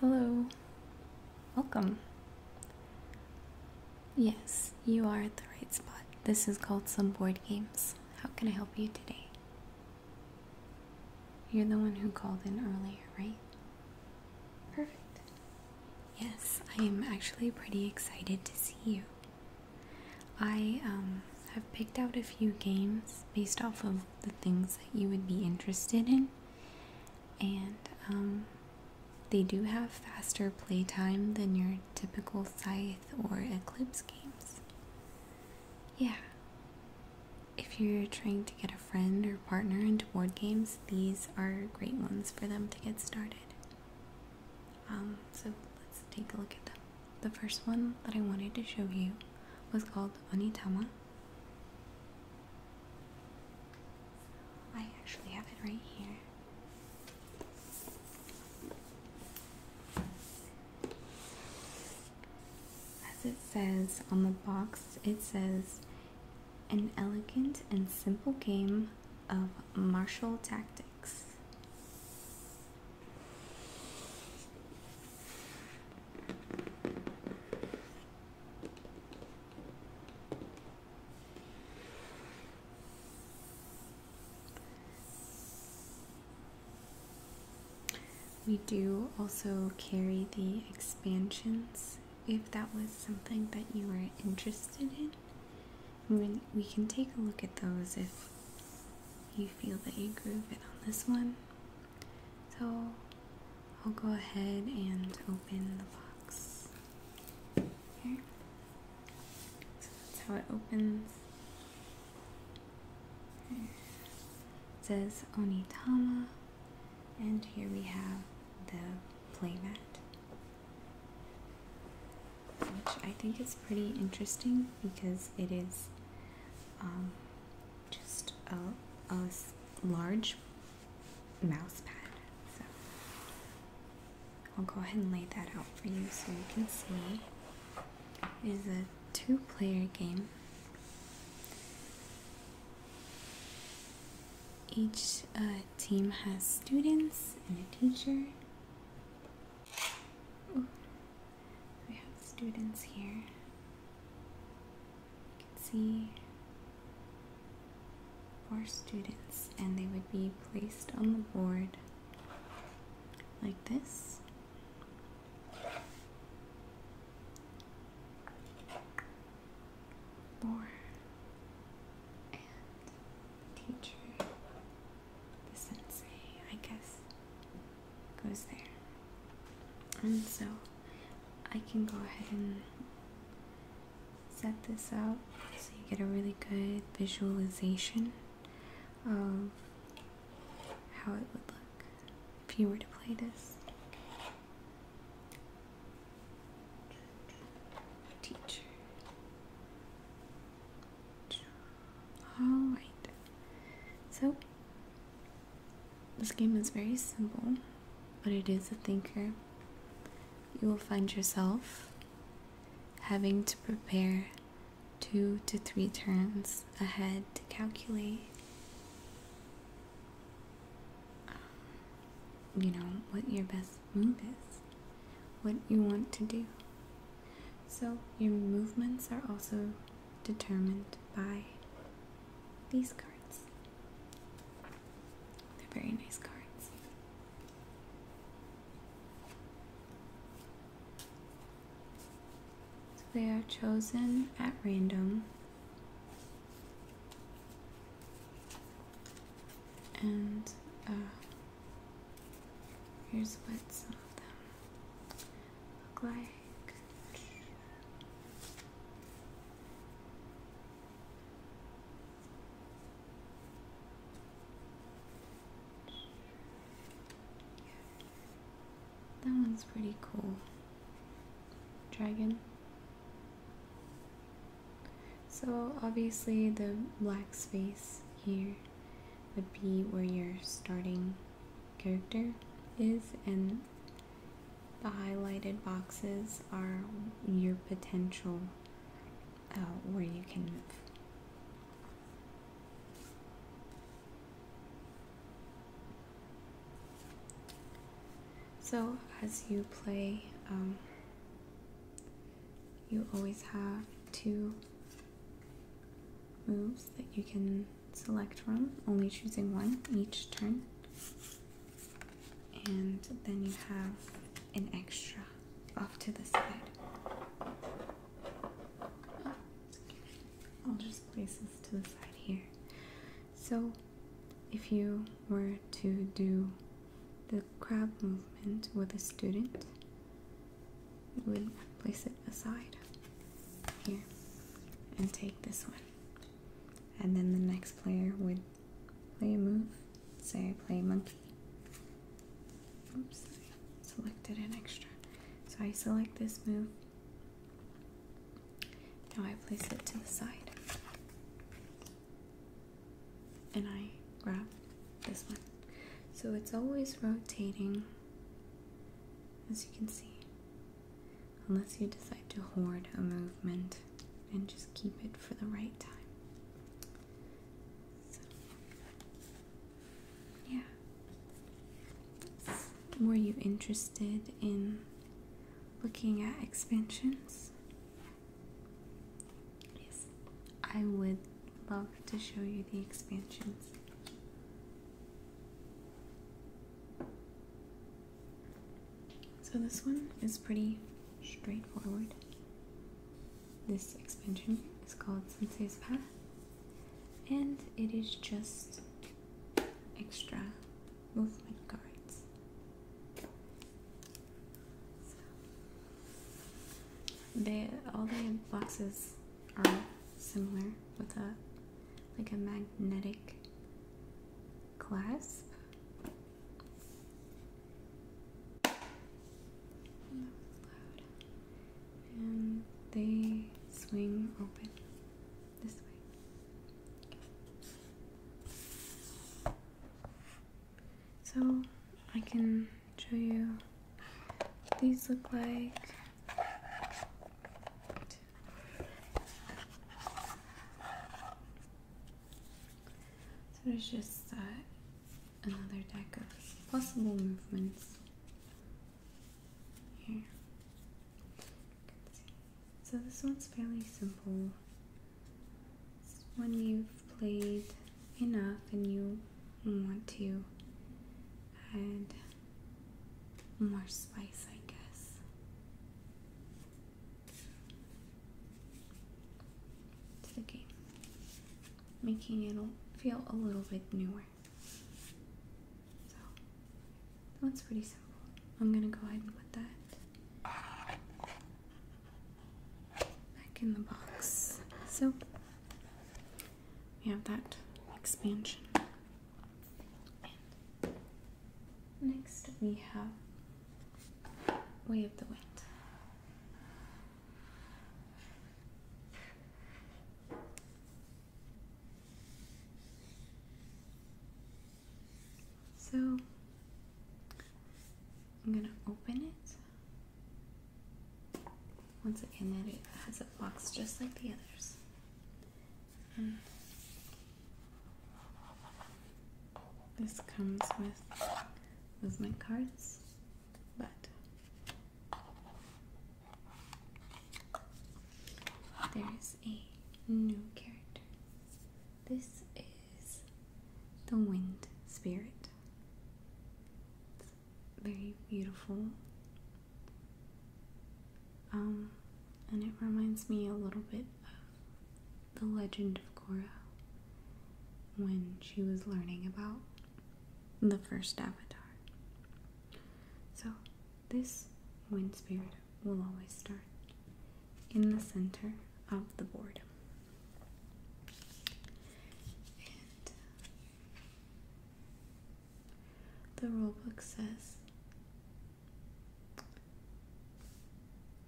Hello, welcome. Yes, you are at the right spot. This is called Some Board Games. How can I help you today? You're the one who called in earlier, right? Perfect. Yes, I am actually pretty excited to see you. I um, have picked out a few games based off of the things that you would be interested in, and um, they do have faster playtime than your typical Scythe or Eclipse games. Yeah. If you're trying to get a friend or partner into board games, these are great ones for them to get started. Um, so let's take a look at them. The first one that I wanted to show you was called Onitama. I actually have it right here. As it says on the box, it says an elegant and simple game of martial tactics. We do also carry the expansions if that was something that you were interested in. We can take a look at those if you feel that you groove it on this one. So I'll go ahead and open the box. So that's how it opens. It says Onitama, and here we have the playmat, which I think is pretty interesting because it is um, just a, large mouse pad. So I'll go ahead and lay that out for you so you can see. It is a two player game. Each uh, team has students and a teacher. We have students here. You can see four students, and they would be placed on the board like this. Four. And teacher the sensei, I guess, goes there. And so I can go ahead and set this up so you get a really good visualization of how it would look if you were to play this. Teacher. Alright, so this game is very simple, but it is a thinker. You will find yourself having to prepare two to three turns ahead to calculate. Um, you know what your best move is, what you want to do. So, your movements are also determined by these cards. They're very nice cards. they are chosen at random. And uh, here's what some of them look like. That one's pretty cool. Dragon. So obviously the black space here would be where you're starting character is, and the highlighted boxes are your potential uh, where you can move. So, as you play, um, you always have to moves that you can select from, only choosing one each turn. And then you have an extra off to the side. I'll just place this to the side here. So, if you were to do the crab movement with a student, we would place it aside here and take this one. And then the next player would play a move. Say I play monkey. Oops, selected an extra. So I select this move. Now I place it to the side. And I grab this one. So it's always rotating as you can see, unless you decide to hoard a movement and just keep it for the right time. yeah. Were you interested in looking at expansions? Yes, I would love to show you the expansions. So this one is pretty straightforward. This expansion is called Sensei's Path, and it is just extra movement cards. they all the boxes are similar with a like a magnetic clasp. And they swing open this way. So I can show you what these look like. So there's just uh, another deck of possible movements here. So this one's fairly simple. It's when you've played enough and you want to add more spice, I guess. To the game, making it feel a little bit newer. So that's pretty simple. I'm gonna go ahead and put that back in the box. So we have that expansion. next we have Way of the Wind. So I'm going to open it once again, it has a box just like the others. Mm. this comes with movement cards, but there is a new character. This is the wind spirit very beautiful. Um, and it reminds me a little bit of the legend of Korra when she was learning about the first avatar. So, this wind spirit will always start in the center of the board. The rulebook says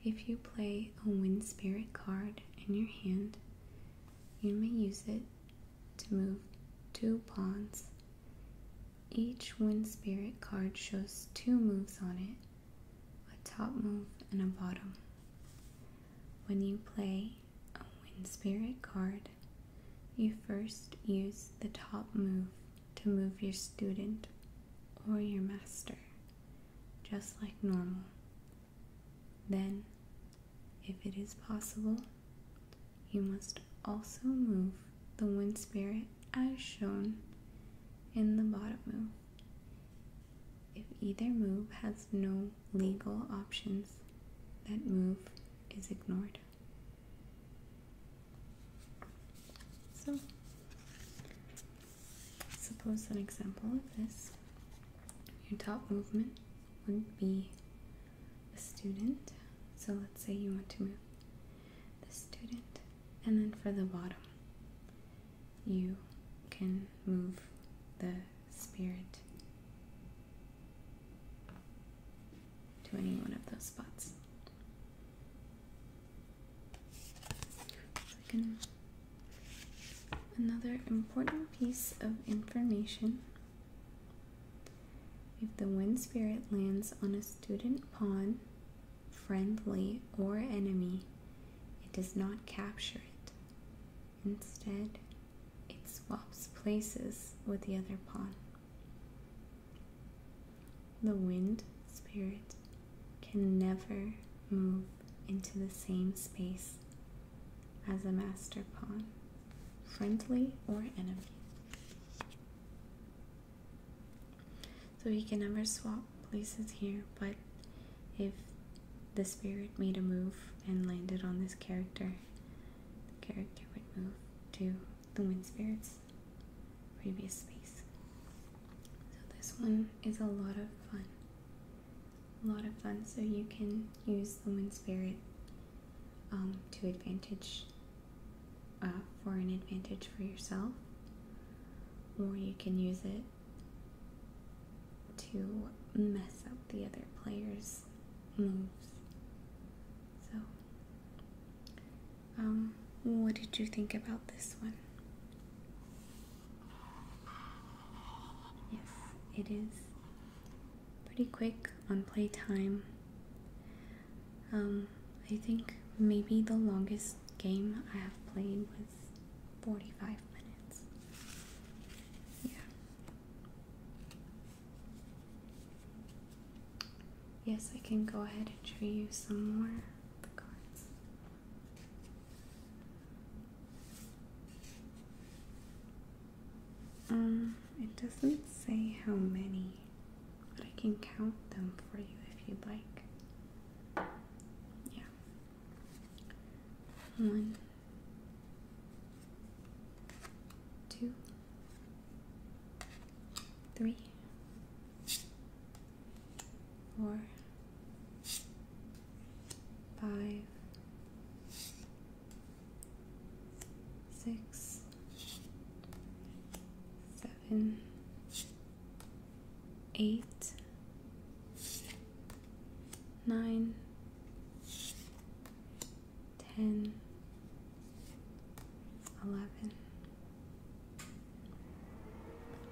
if you play a wind spirit card in your hand, you may use it to move two pawns. Each wind spirit card shows two moves on it a top move and a bottom. When you play a wind spirit card you first use the top move to move your student or your master, just like normal. Then, if it is possible, you must also move the wind spirit as shown in the bottom move. If either move has no legal options, that move is ignored. So, suppose an example of this your top movement would be a student. So, let's say you want to move the student, and then for the bottom, you can move the spirit to any one of those spots. Second, another important piece of information. If the wind spirit lands on a student pawn, friendly or enemy, it does not capture it. Instead, it swaps places with the other pawn. The wind spirit can never move into the same space as a master pawn, friendly or enemy. So he can never swap places here, but if the spirit made a move and landed on this character, character would move to the Wind Spirit's previous space. So this one is a lot of fun. A lot of fun, so you can use the Wind Spirit um, to advantage, uh, for an advantage for yourself, or you can use it to mess up the other player's moves. So, um, what did you think about this one? Yes, it is pretty quick on playtime. Um, I think maybe the longest game I have played was 45 minutes. Yeah. Yes, I can go ahead and show you some more of the cards. Um, it doesn't say how many, but I can count them for you if you'd like. Yeah. One, two, three, four, five, six, seven, eight, nine ten, eleven.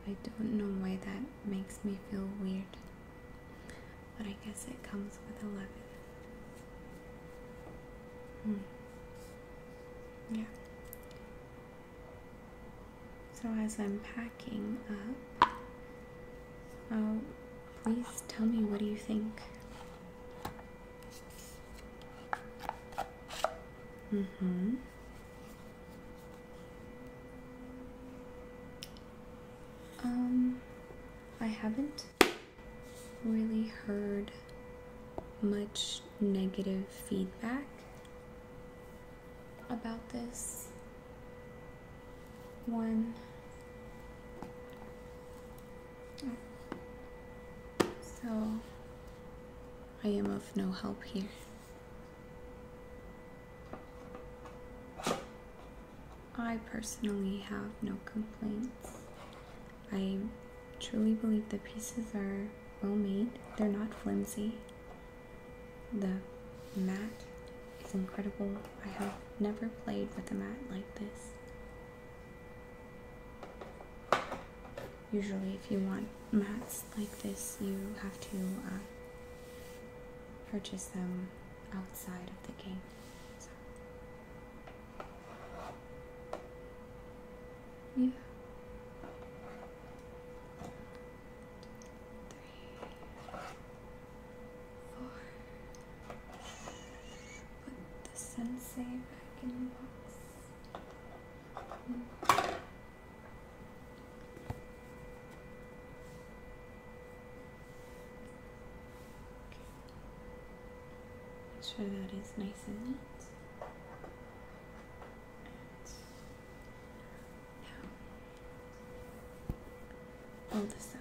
I don't know why that makes me feel weird, but I guess it comes with eleven. Hmm. Yeah. So as I'm packing up, Oh, please tell me what do you think? Mm hmm. Um, I haven't really heard much negative feedback about this one. So, I am of no help here. I personally have no complaints. I truly believe the pieces are well made. They're not flimsy. The mat it's incredible. I have never played with a mat like this. Usually, if you want mats like this, you have to uh, purchase them outside of the game. Yeah. Three, Put the sensei back in the box. Make sure that is nice and neat. And now, roll this up.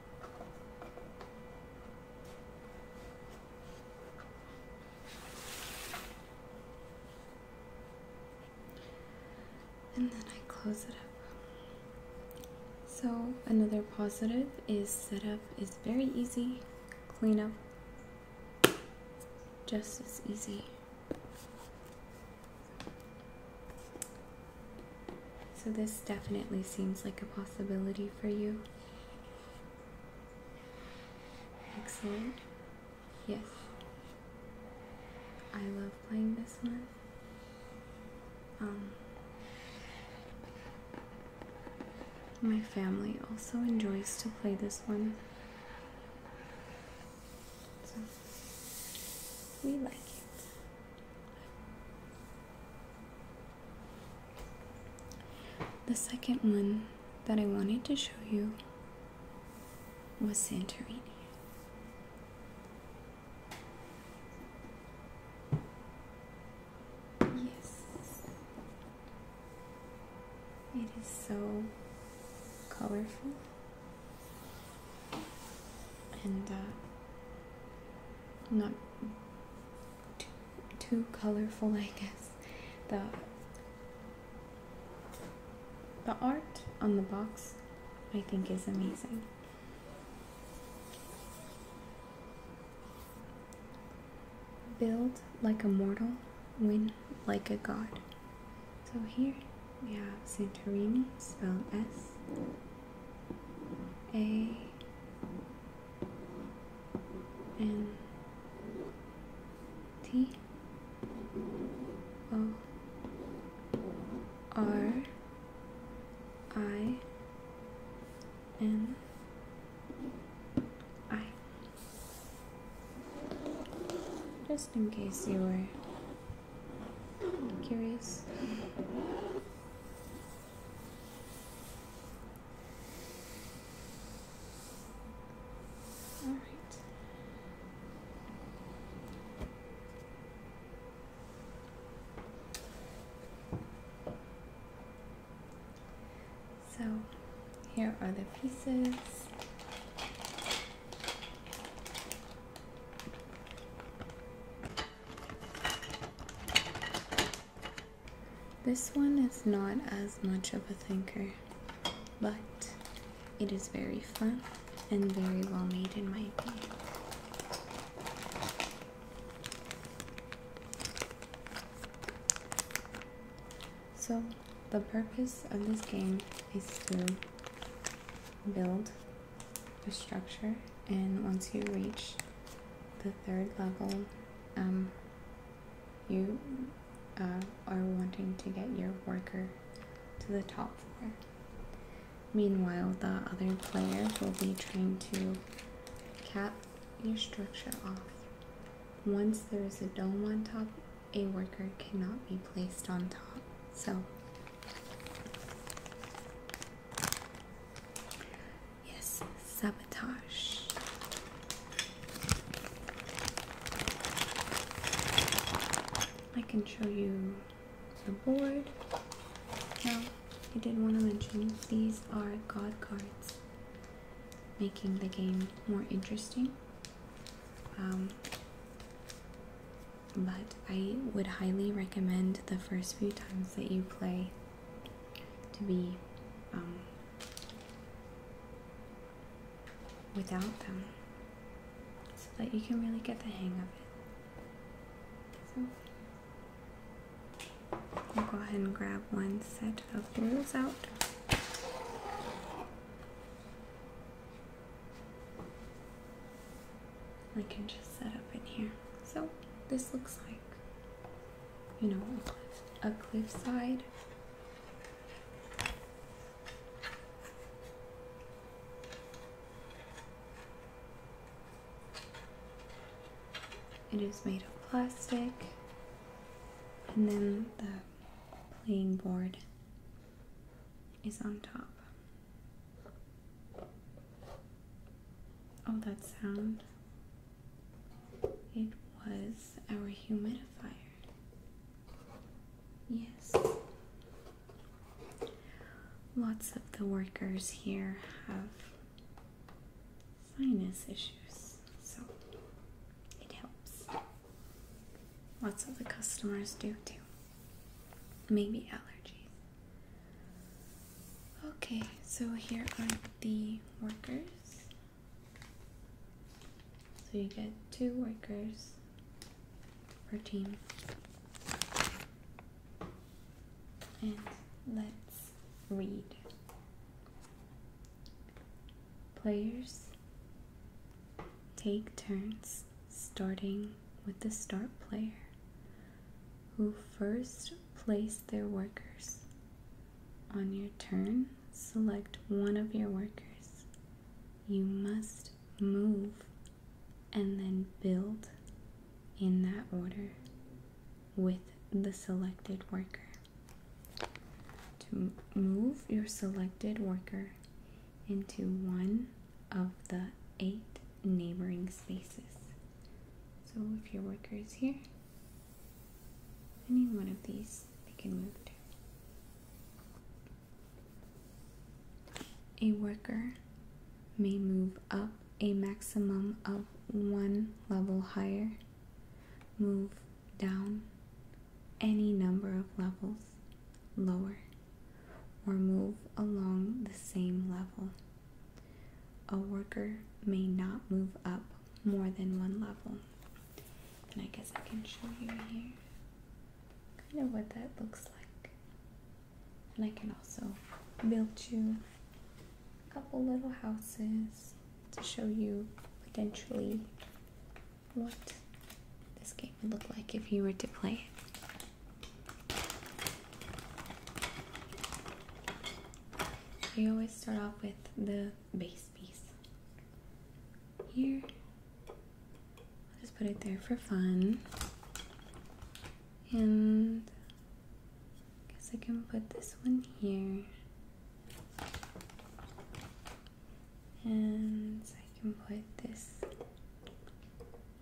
And then I close it up. So, another positive is setup is very easy, Clean up, just as easy. So, this definitely seems like a possibility for you. Excellent. Yes. I love playing this one. Um, my family also enjoys to play this one. So we like it. The second one that I wanted to show you was Santorini. Yes, it is so colorful and uh, not too, colorful, I guess. The the art on the box, I think, is amazing. Build like a mortal, win like a god. So here we have Santorini, spelled S A N T O R I N I. Just in case you were curious. All right. So here are the pieces. This one is not as much of a thinker, but it is very fun and very well made in my opinion. So the purpose of this game is to build a structure and once you reach the third level, um, you uh, are wanting to get your worker to the top floor. Meanwhile, the other players will be trying to cap your structure off. Once there is a dome on top, a worker cannot be placed on top. So, Yes, sabotage. I can show you the board. Now, I did want to mention these are god cards, making the game more interesting. Um, but I would highly recommend the first few times that you play to be um, without them so that you can really get the hang of it. So I'll go ahead and grab one set of wheels out. We can just set up in here. So this looks like you know, a, cliff, a cliffside. It is made of plastic, and then the playing board is on top. Oh, that sound. It was our humidifier. Yes. Lots of the workers here have sinus issues, so it helps. Lots of the customers do too. Maybe allergies. Okay, so here are the workers. So you get two workers per team. And let's read. Players take turns starting with the start player who first place their workers. On your turn, select one of your workers. You must move and then build in that order with the selected worker. To move your selected worker into one of the eight neighboring spaces. So if your worker is here, any one of these they can move to. A worker may move up a maximum of one level higher, move down any number of levels lower, or move along the same level. A worker may not move up more than one level. And I guess I can show you here kind of what that looks like. And I can also build you a couple little houses to show you potentially what this game would look like if you were to play it. I always start off with the base piece here. I'll just put it there for fun. And I guess I can put this one here. And I can put this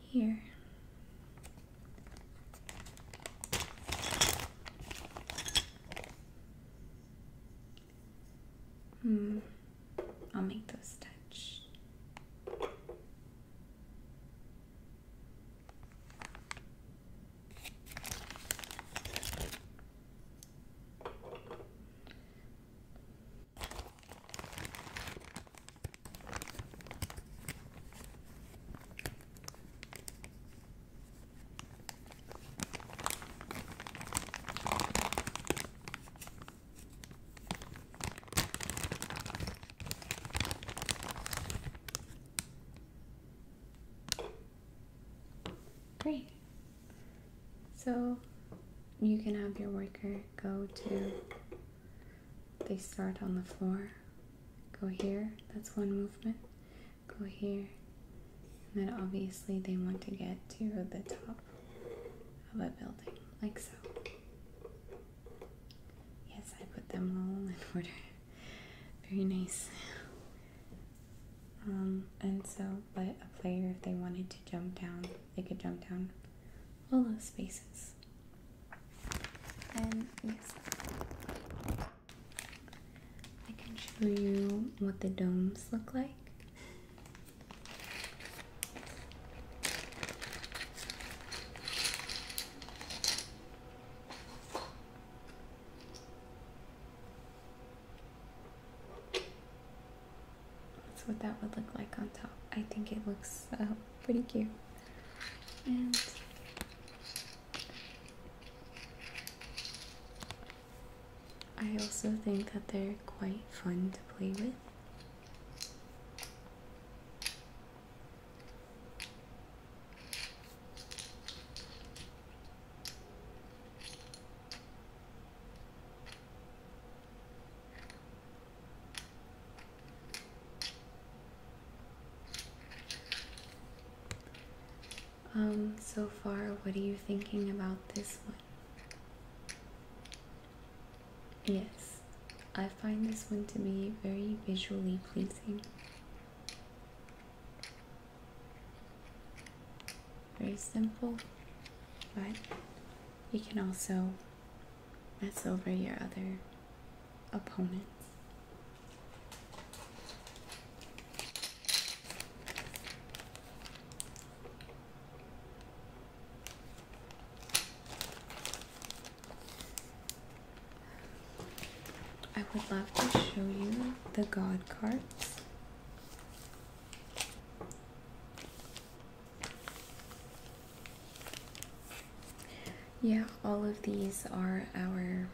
here. Hmm. I'll make those touch. Great. So you can have your worker go to they start on the floor, go here, that's one movement, go here, and then obviously they want to get to the top of a building, like so. Yes, I put them all in order. Very nice. Um, and so, but a player, if they wanted to jump down, they could jump down all those spaces. And I can show you what the domes look like. That's what that would look like on top. I think it looks uh, pretty cute. And I also think that they're quite fun to play with. Um, so far, what are you thinking about this one? Yes, I find this one to be very visually pleasing. Very simple, but you can also mess over your other opponent. I would love to show you the God cards yeah, all of these are our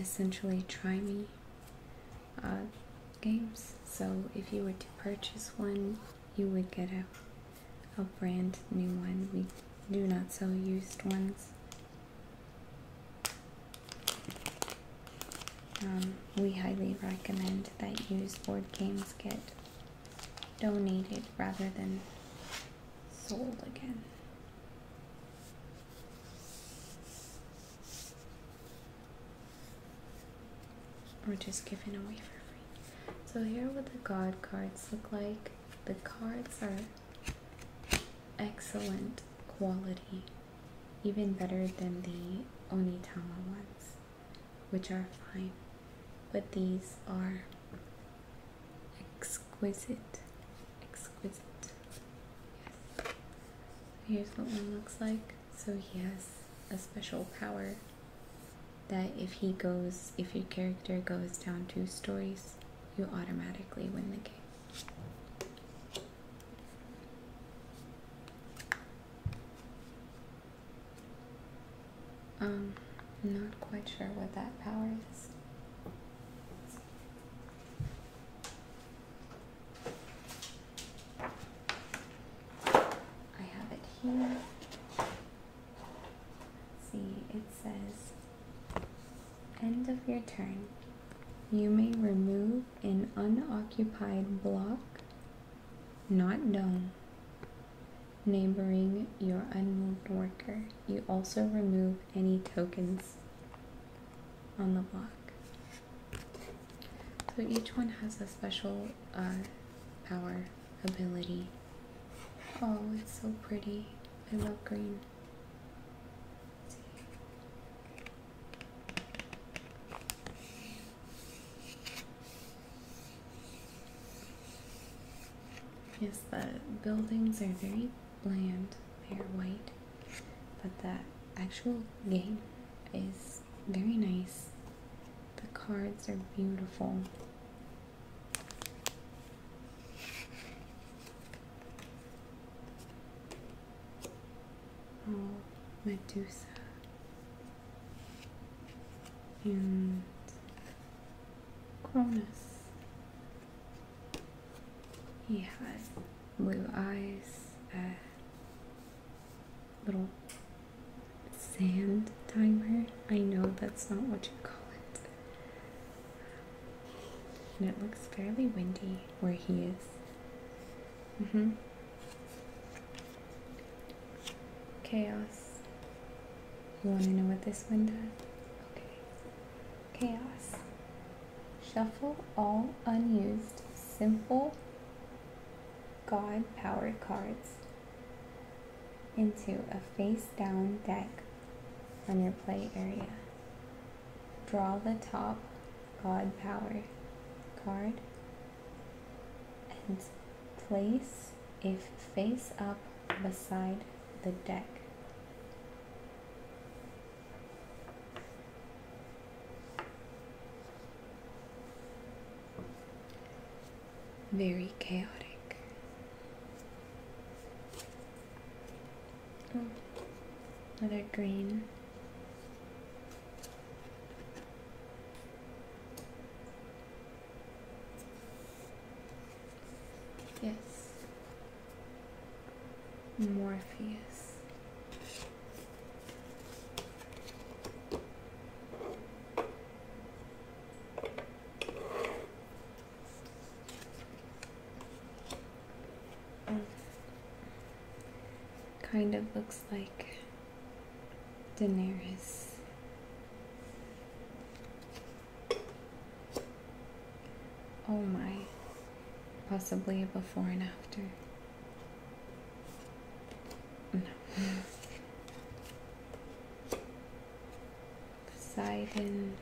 essentially try me uh, games. So if you were to purchase one, you would get a a brand new one. We do not sell used ones. Um, we highly recommend that used board games get donated rather than sold again. Or just given away for free. So here what the god cards look like. The cards are excellent quality. Even better than the Onitama ones, which are fine. But these are exquisite, exquisite. Yes. Here's what one looks like. So he has a special power that if he goes, if your character goes down two stories, you automatically win the game. Um, I'm not quite sure what that power is. I have it here. see, it says end of your turn. You may remove an unoccupied block, not known neighboring your unmoved worker. You also remove any tokens on the block. So each one has a special uh, power ability. Oh, it's so pretty. I love green. Yes, the buildings are very bland, they're white, but the actual game is very nice. The cards are beautiful. Oh, Medusa. And Cronus. He has blue eyes, a little sand timer. I know that's not what you call it. And it looks fairly windy where he is. Mm hmm Chaos you want to know what this one does? Okay. Chaos. Shuffle all unused simple God powered cards into a face down deck on your play area. Draw the top God power card and place if face up beside the deck. Very chaotic. Oh, another green. Yes. Morpheus. Kind of looks like Daenerys. Oh my. Possibly before and after. No. Poseidon.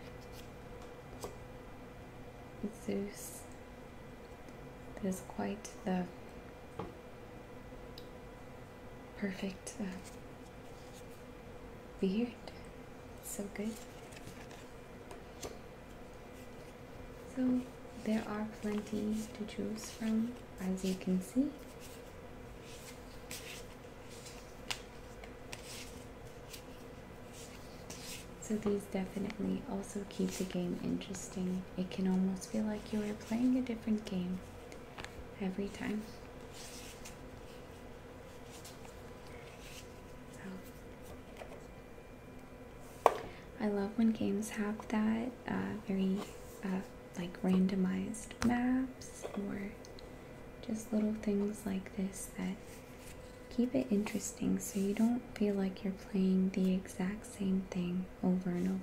Zeus. That is quite the perfect beard. Uh, so good. So there are plenty to choose from, as you can see. So these definitely also keep the game interesting. It can almost feel like you are playing a different game every time. I love when games have that uh, very uh, like randomized maps or just little things like this that keep it interesting so you don't feel like you're playing the exact same thing over and over.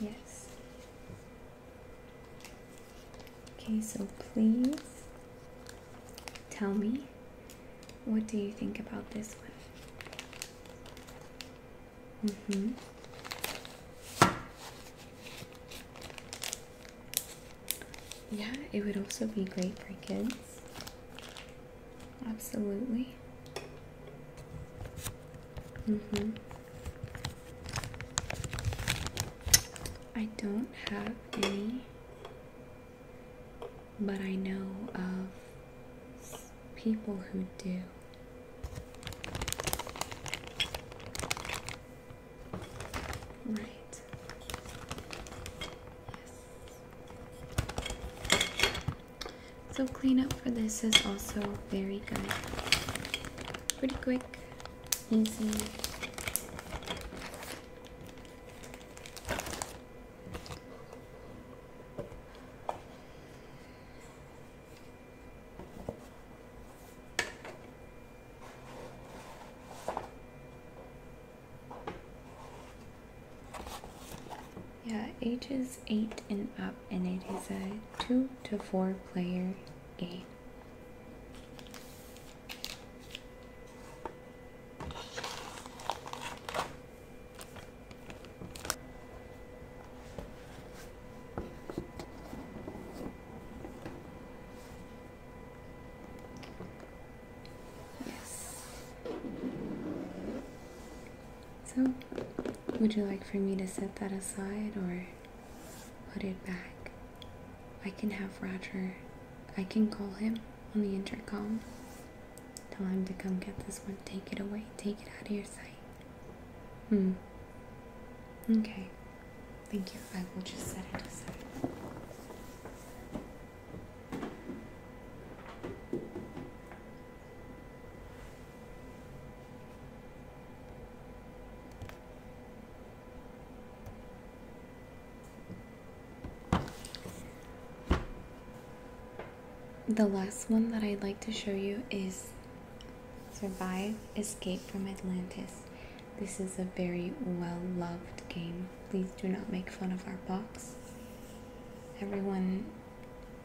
Yes. Okay, so please tell me what do you think about this one? Mm-hmm. Yeah, it would also be great for kids. Absolutely. Mm-hmm. I don't have any, but I know of people who do. Right. Yes. So cleanup for this is also very good. Pretty quick easy. Yeah, ages 8 and up, and it is a 2 to 4 player Okay. Yes. So, would you like for me to set that aside or Put it back. I can have Roger. I can call him on the intercom. Tell him to come get this one. Take it away. Take it out of your sight. Hmm. Okay. Thank you. I will just set it aside. The last one that I'd like to show you is Survive Escape from Atlantis. This is a very well loved game. Please do not make fun of our box. Everyone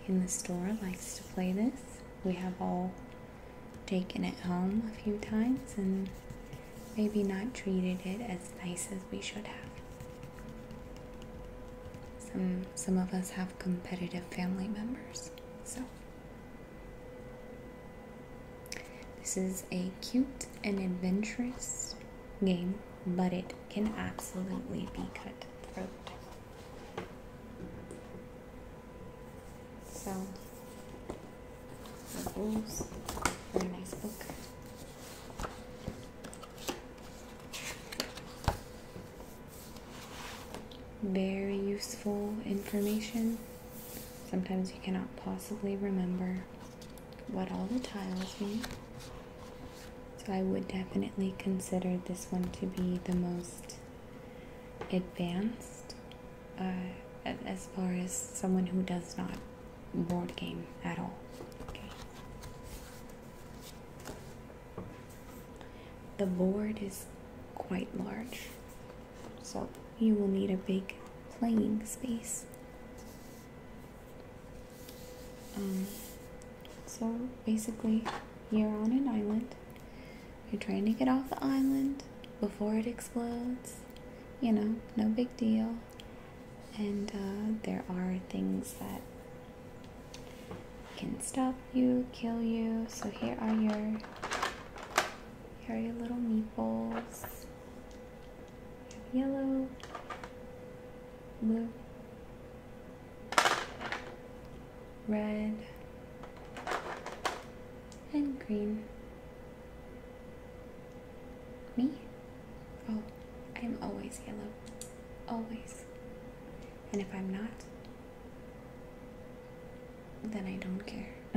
in the store likes to play this. We have all taken it home a few times and maybe not treated it as nice as we should have. Some, some of us have competitive family members, so. This is a cute and adventurous game, but it can absolutely be cutthroat. So, Very nice book. Very useful information. Sometimes you cannot possibly remember what all the tiles mean. So I would definitely consider this one to be the most advanced uh, as far as someone who does not board game at all. The board is quite large, so you will need a big playing space. Um, so basically, you're on an island you're trying to get off the island before it explodes. You know, no big deal. And uh, there are things that can stop you, kill you. So here are your here are your little meatballs. Yellow, blue, red, and green. Me? Oh, I am always yellow. Always. And if I'm not, then I don't care.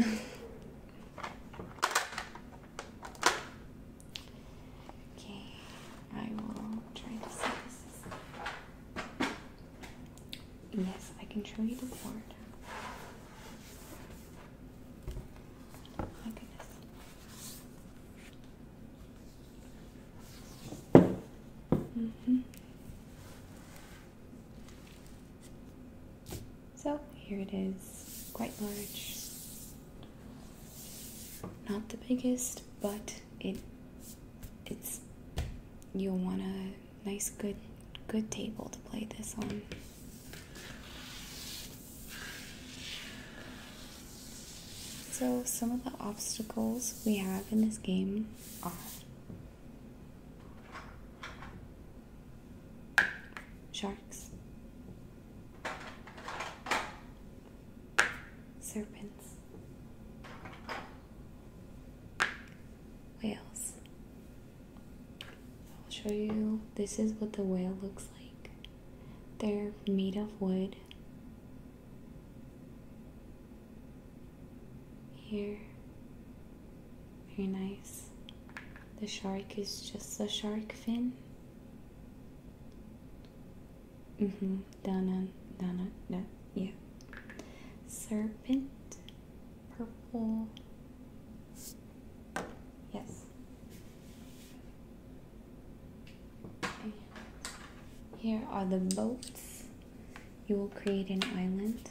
okay, I will try to see this. Yes, I can show you the cord. my goodness. Mm -hmm. So here it is, quite large. Not the biggest, but it it's you'll wanna nice good good table to play this on. So some of the obstacles we have in this game are sharks, serpents, whales. I'll show you. This is what the whale looks like. They're made of wood. Here. Very nice. The shark is just a shark fin. Mm-hmm. Down on, down Yeah serpent, purple. Yes. Here are the boats. You will create an island.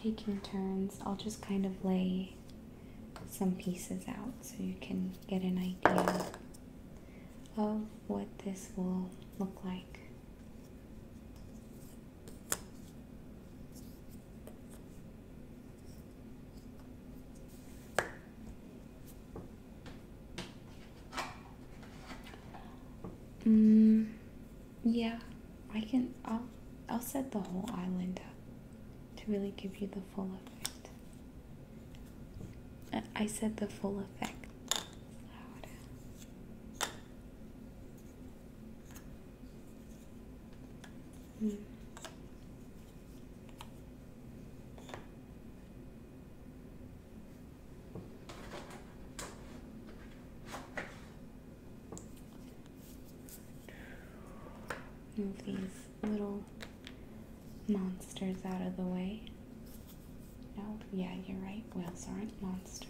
Taking turns, I'll just kind of lay some pieces out so you can get an idea of what this will look like. Mm, yeah, I can. I'll, I'll set the whole island up to really give you the full effect. I said the full effect. Move these little monsters out of the way. No, oh, yeah, you're right. Whales aren't monsters.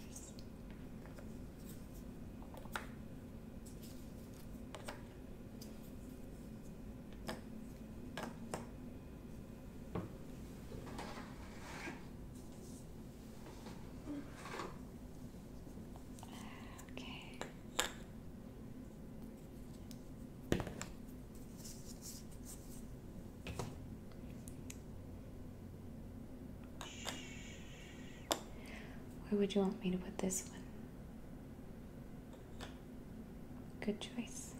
Okay. Where would you want me to put this one? Good choice.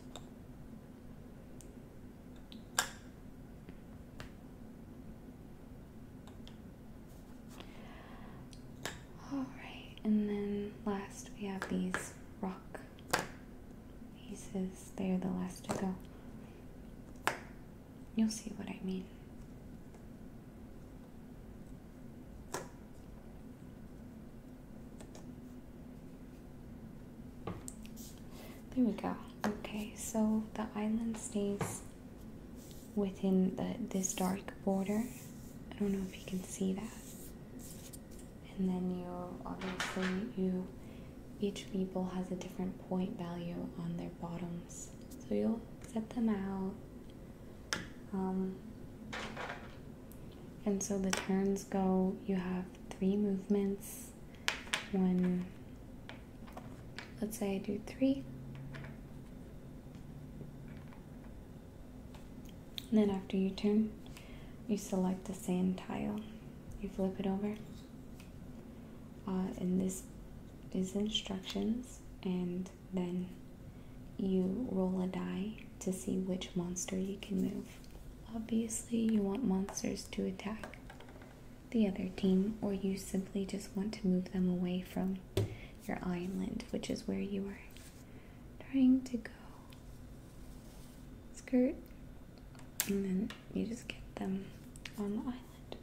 All right, and then last we have these rock he says They are the last to go. You'll see what I mean. There we go. Okay, so the island stays within the, this dark border. I don't know if you can see that and then you obviously you each people has a different point value on their bottoms so you'll set them out um, and so the turns go you have three movements one let's say I do three and then after you turn you select the same tile you flip it over uh, and this is instructions and then you roll a die to see which monster you can move obviously you want monsters to attack the other team or you simply just want to move them away from your island which is where you are trying to go skirt and then you just get them on the island.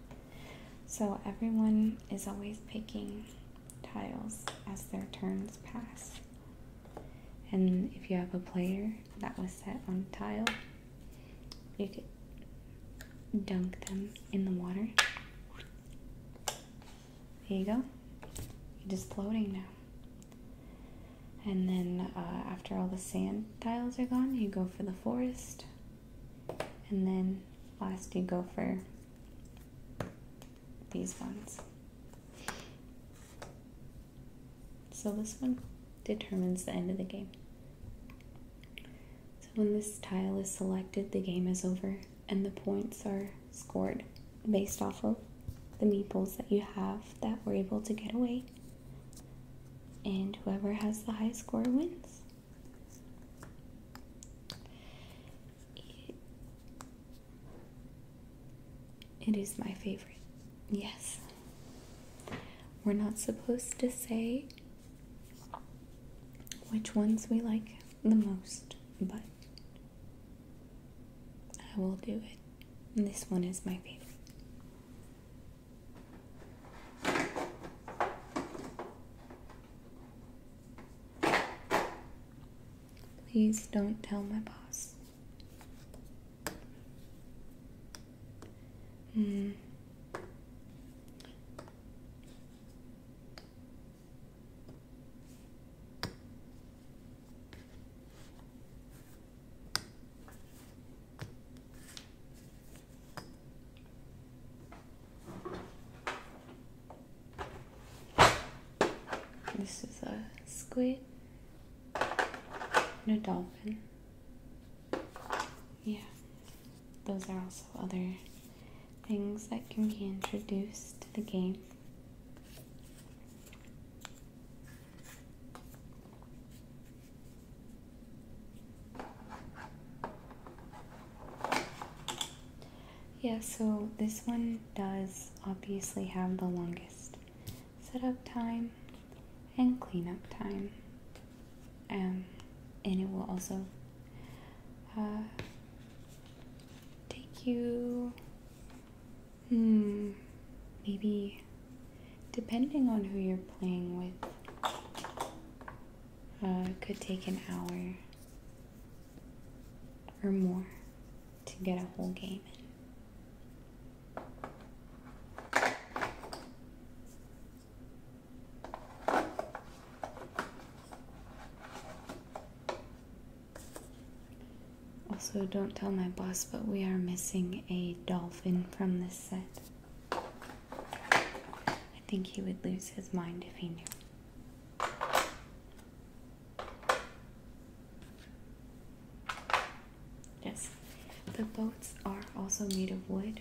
So everyone is always picking tiles as their turns pass. And if you have a player that was set on a tile, you could dunk them in the water. There you go. You're just floating now. And then uh, after all the sand tiles are gone, you go for the forest. And then last, you go for these ones. So this one determines the end of the game. So when this tile is selected, the game is over and the points are scored based off of the meeples that you have that were able to get away and whoever has the highest score wins. it is my favorite. Yes. We're not supposed to say which ones we like the most, but I will do it. This one is my favorite. Please don't tell my boss. Mm. This is a squid and a dolphin. Yeah, those are also other things that can be introduced to the game. Yeah, so this one does obviously have the longest setup time and cleanup time. Um, and it will also uh, take you Hmm. Maybe depending on who you're playing with, uh, it could take an hour or more to get a whole game in. Also, don't tell my boss, but we are missing a dolphin from this set. I think he would lose his mind if he knew. Yes, the boats are also made of wood.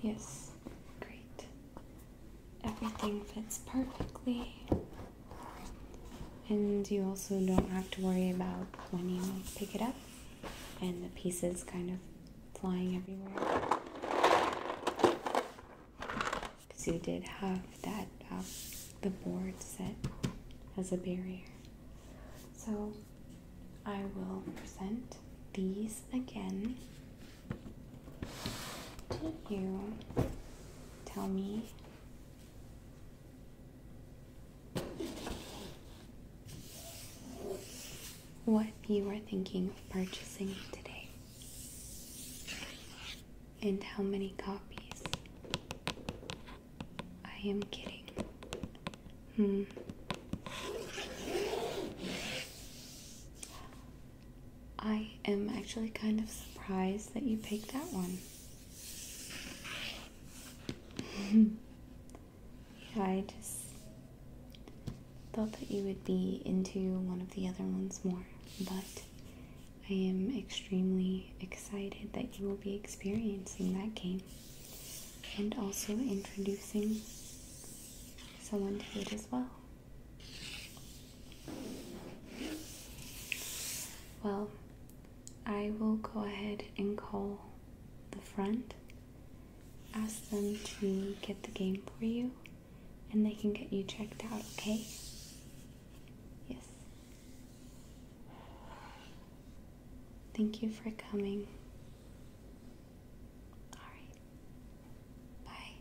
Yes, great everything fits perfectly. And you also don't have to worry about when you pick it up and the pieces kind of flying everywhere. Because you did have that, um, the board set as a barrier. So I will present these again did you tell me? What you are thinking of purchasing today, and how many copies. I am kidding. Hmm. I am actually kind of surprised that you picked that one. I just thought that you would be into one of the other ones more, but I am extremely excited that you will be experiencing that game and also introducing someone to it as well. Well, I will go ahead and call the front, ask them to get the game for you, and they can get you checked out, okay? Yes. Thank you for coming. All right. Bye.